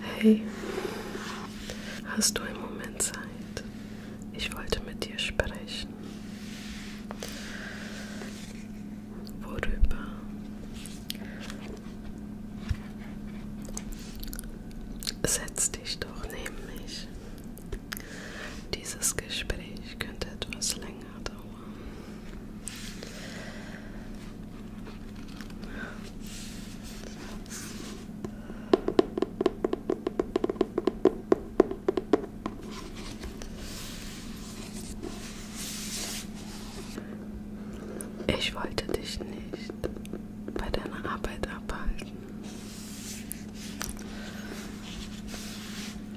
Hey, hast du einen Moment Zeit? Ich wollte mit dir sprechen. Worüber? Setz dich doch neben mich. Dieses Gespräch könnte etwas länger dauern. Ich wollte dich nicht bei deiner Arbeit abhalten.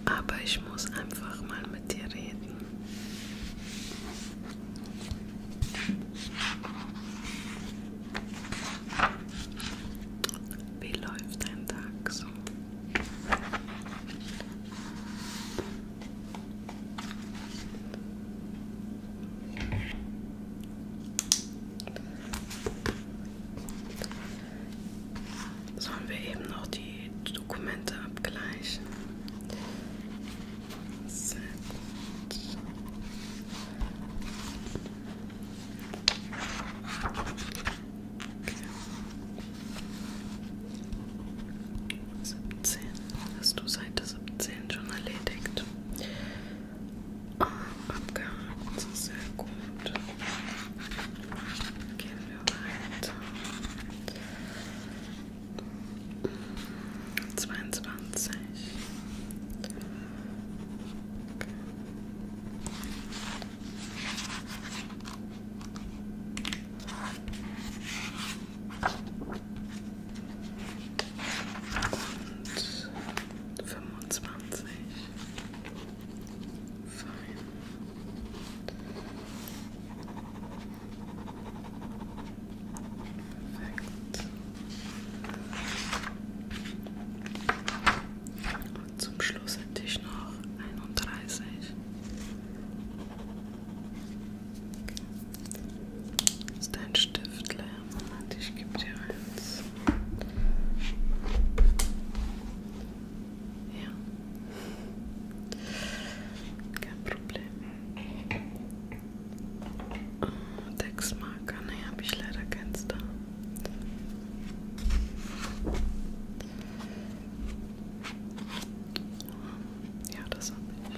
Aber ich muss einfach mal mit dir reden. Wie läuft dein Tag so? Sollen wir eben noch die Dokumente abgleichen? Sehr gut. Okay. 17. Hast du Seite 17 schon erledigt? abgehakt. Sehr gut. Gehen wir weiter. 22. Okay. Und 25. Fein. Perfekt. Und zum Schluss hätte ich noch 31. Okay. Ist dein Stift leer? Moment, ich gebe dir eins. Ja. Kein Problem. Textmarker, ne, habe ich leider keins da. Ja, das habe ich.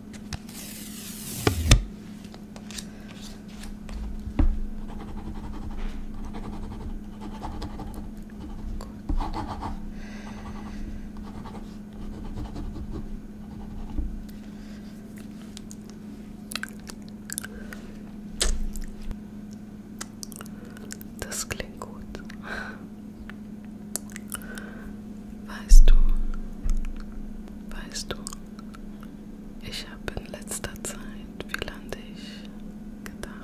Das klingt gut. Weißt du, weißt du. Ich habe in letzter Zeit viel an dich gedacht.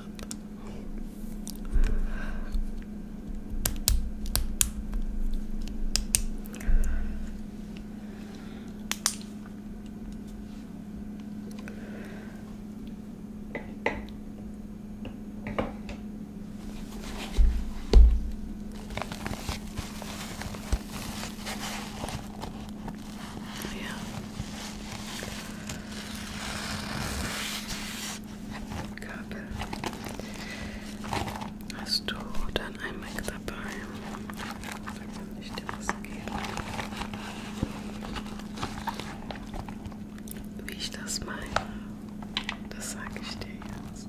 Ja. Kabel. Hast du dann ein Mac dabei? Da kann ich dir was geben. Wie ich das meine, das sage ich dir jetzt.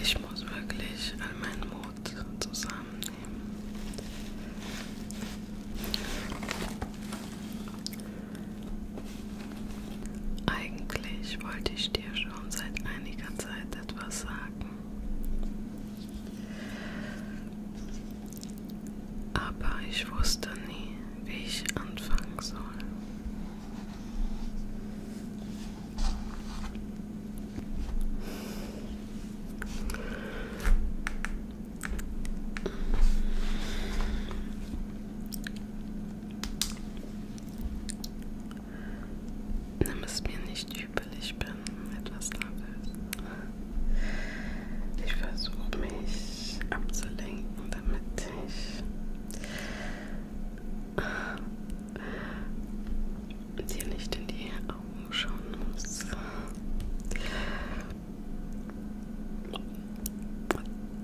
Ich muss wirklich all meinen Mut zusammennehmen. Eigentlich wollte ich dir schon seit einiger Zeit etwas sagen. Aber ich wusste nie, wie ich anfangen soll. Nimm es mir nicht übel, ich bin etwas nervös. Ich versuche mich abzulenken, damit ich äh, dir nicht in die Augen schauen muss.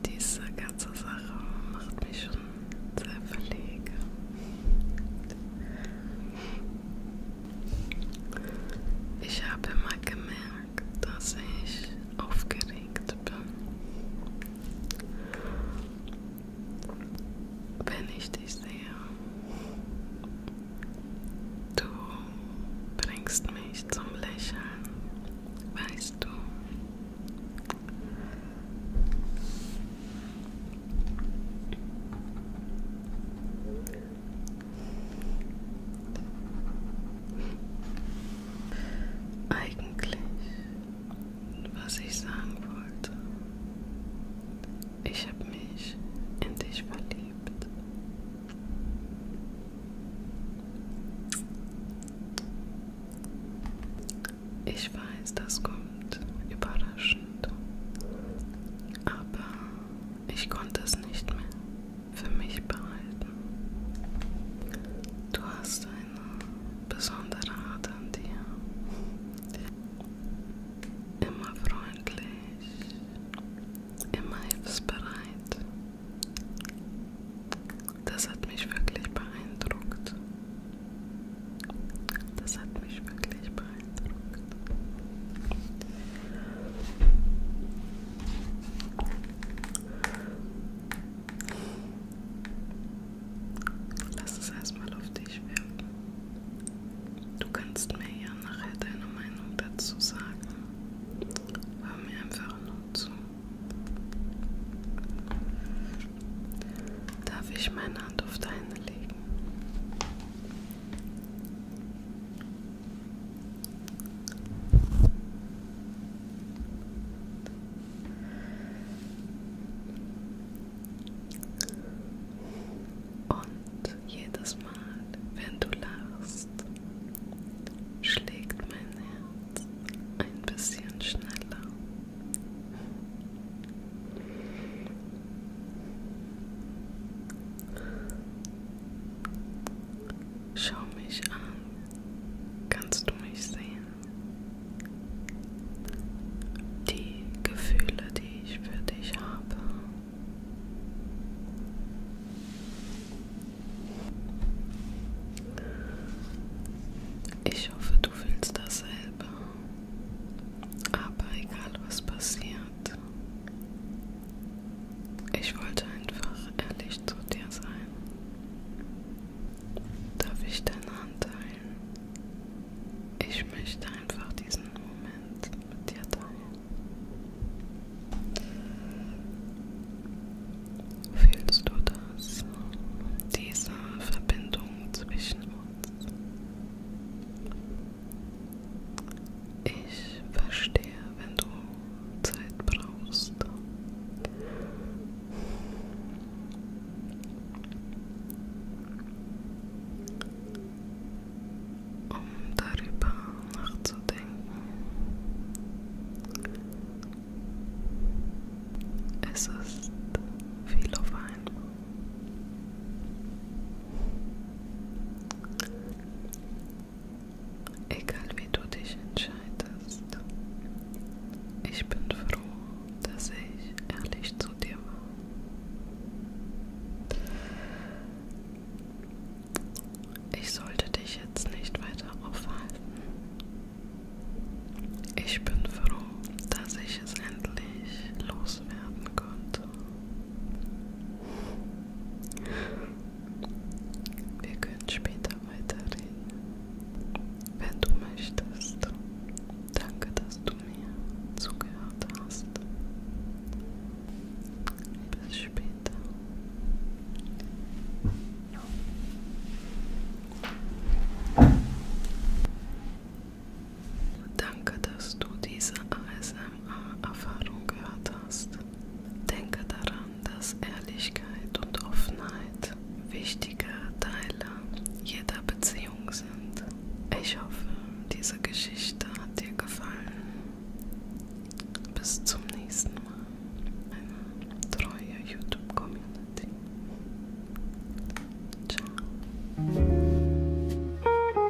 Diese ganze Sache macht mich schon sehr verlegen. Ich habe mal gemerkt, dass ich aufgeregt bin. Wenn ich dich sehe, du bringst mich zum Lächeln, weißt du. Eigentlich, was ich sagen wollte, ich habe mich in dich verliebt. Ich weiß, das kommt überraschend, aber ich konnte es nicht mehr für mich behalten. Du hast eine besondere Art an dir. Immer freundlich, immer hilfsbereit. Das hat mich wirklich beeindruckt. Das hat mich wirklich beeindruckt. Lass es erstmal auf dich wirken. Du kannst mir ja nachher deine Meinung dazu sagen. Hör mir einfach nur zu. Darf ich meine Hand auf deine legen? Und jedes Mal, wenn du lachst, schlägt mein Herz ein bisschen schneller. Schau mich an. Kannst du mich sehen? Die Gefühle, die ich für dich habe. Ich hoffe, du fühlst dasselbe. Aber egal was passiert, Herz. Ich wollte einfach ehrlich zu dir sein. Darf ich deine Hand teilen? Ich möchte einfach diesen Moment mit dir teilen. Fühlst du das? Diese Verbindung zwischen uns. Ich verstehe, wenn du Zeit brauchst. Um darüber nachzudenken. Es ist viel auf einmal. Egal wie du dich entscheidest, ich bin froh, dass ich ehrlich zu dir war. Ich sollte dich jetzt nicht weiter aufhalten. Ich bin froh, dass ich es endlich loswerden konnte. Wir können später weiterreden, wenn du möchtest. Danke, dass du mir zugehört hast. Bis später. Danke, dass du diese ASMR Erfahrung gehört hast. Denke daran, dass Ehrlichkeit und Offenheit wichtige Teile jeder Beziehung sind. Ich hoffe, diese Geschichte hat dir gefallen. Bis zum nächsten Mal. Eine treue YouTube-Community. Ciao.